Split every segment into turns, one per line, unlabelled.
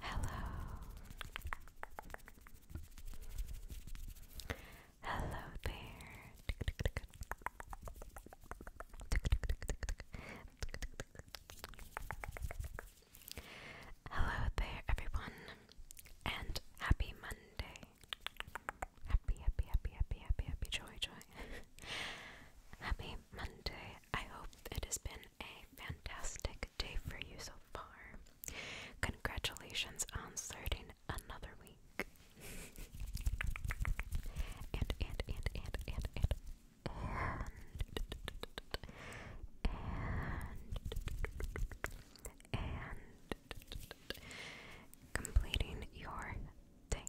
Hello. Hello there. Hello there, everyone, and happy Monday. Happy, happy, happy, happy, happy, happy, joy, joy, doing. Happy Monday. I hope it has been a fantastic day for you so far. Congratulations on starting another week. and, and, and, and, and, and, and, and, and, completing your thing.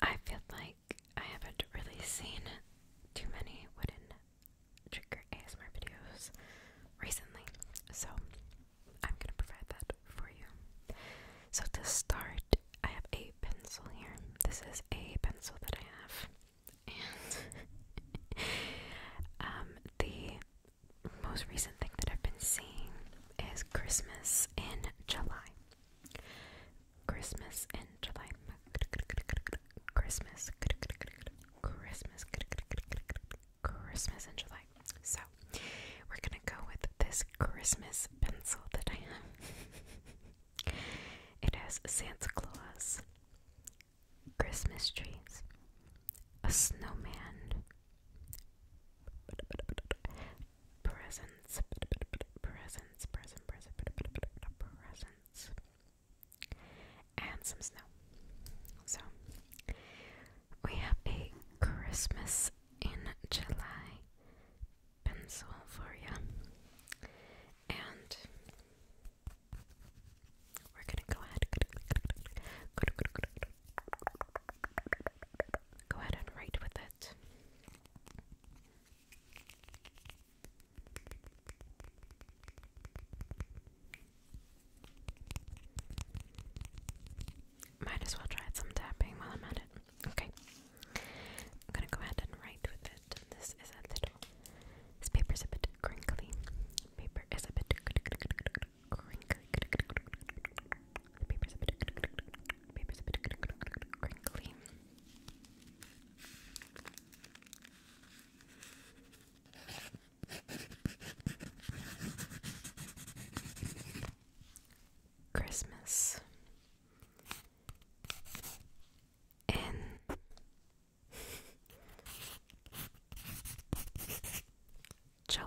I feel like I haven't really seen too many wooden trigger ASMR videos recently, so I'm gonna provide that for you. So to start, I have a pencil here. This is a pencil that I have, and um, the most recent thing that I've been seeing is Christmas in July. Christmas in July. Christmas. Christmas. Christmas in July. So, we're gonna go with this Christmas pencil that I have. it has Santa Claus, Christmas trees, a snowman, presence, presence, present, present, presence, and some snow. So we have a Christmas in July pencil for you, and we're gonna go ahead go ahead and write with it. Might as well try some tapping while I'm at it. Okay. I'm gonna go ahead and write with it. This is a little. This paper's a bit crinkly. Paper is a bit crinkly. The paper's a bit Paper's a bit crinkly. Christmas in July.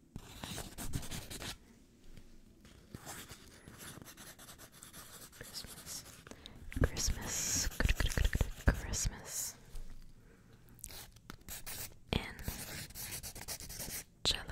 Christmas. Christmas. Christmas. In July.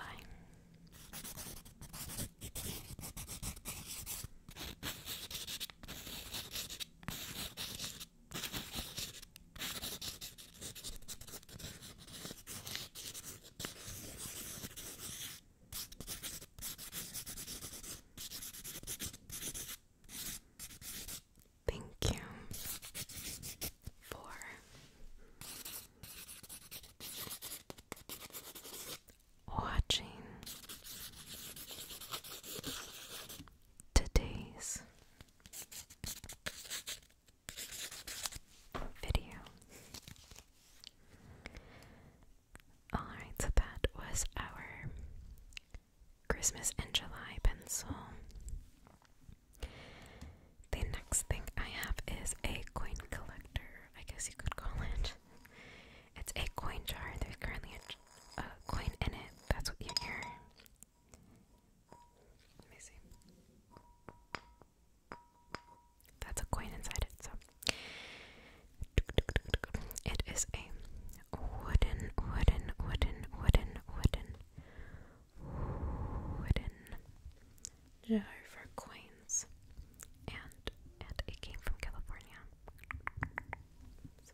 Thank you for watching today's video. Alright, so that was our Christmas in July pencil. The next thing I have is a coin collector, I guess you could call it. It's a coin jar, there's currently a, coin in it, that's what you hear. Let me see. That's a coin inside it, so it is a wooden, wooden, wooden, wooden, wooden, wooden jar for coins, and and it came from California. So.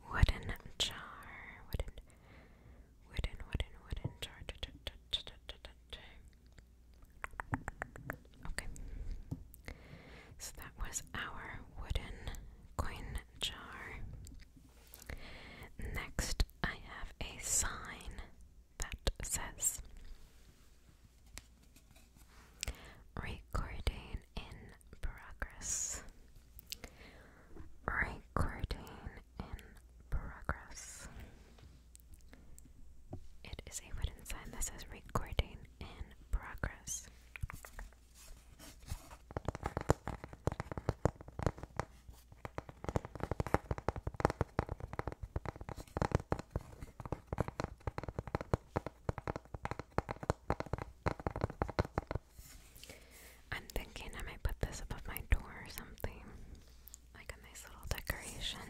Wooden jar, wooden, wooden, wooden, wooden jar. Okay, so that was our wooden coin jar. Next, I have a sign that says recording in progress. Recording in progress. It is a wooden sign that says recording in progress. I'm thinking I might put this above my door or something, like a nice little decoration.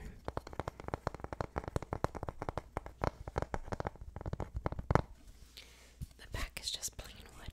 The back is just plain wood.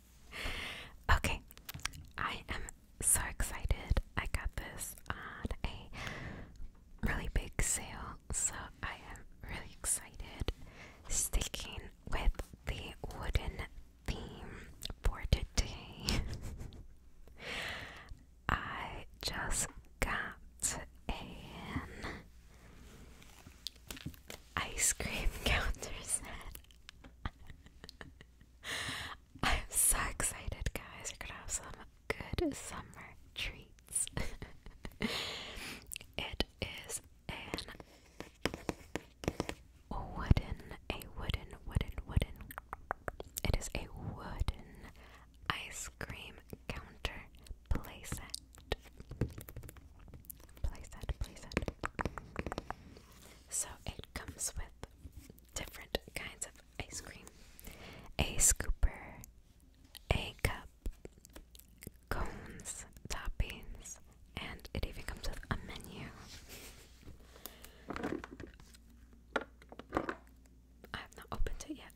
okay, I am so excited. I got this on a really big sale, so I am really excited. Sticking with the wooden theme for today, I just got an ice cream counter set. I'm so excited, guys. We're gonna have some good summer treats. it is an wooden, a wooden, wooden, wooden. It is a wooden ice cream counter playset. Playset, playset. So, a comes with different kinds of ice cream a scooper, a cup, cones, toppings, and it even comes with a menu. I have not opened it yet.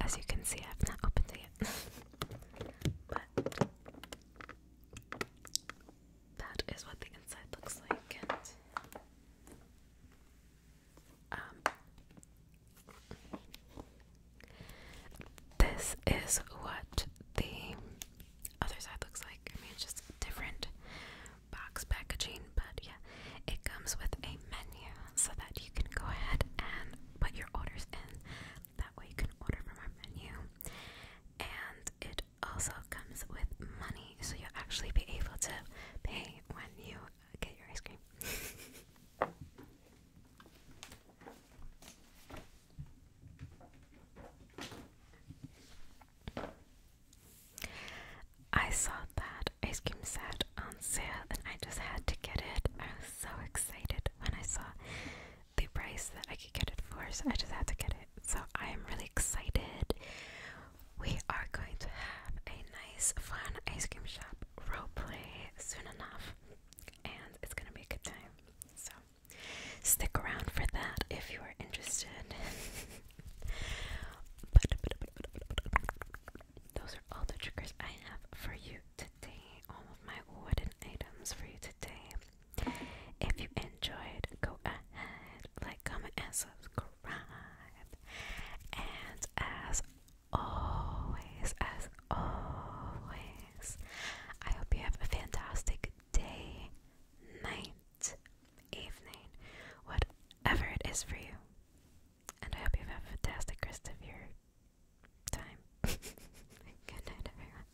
As you can see, I have not opened it yet. but that is what the inside looks like. And, um, this is what the other side looks like. I mean, it's just different box packaging, but yeah, it comes with a menu so that you can go ahead and put your orders in. That way, you can order from our menu, and it also comes with money, so you'll actually be able to pay when you get your ice cream. I saw that ice cream set on sale and I just had to get it. I was so excited when I saw the price that I could get it for, so I just had to get it so I am really excited. We are going to have a nice, fun ice cream shop roleplay soon enough, and it's gonna be a good time. So, stick around for that if you are interested. but, those are all the triggers I have for you today. All of my wooden items for you today. If you enjoyed, go ahead, like, comment, and subscribe. And as always, as always, I hope you have a fantastic day, night, evening, whatever it is for you. And I hope you have a fantastic rest of your time. Good night, everyone.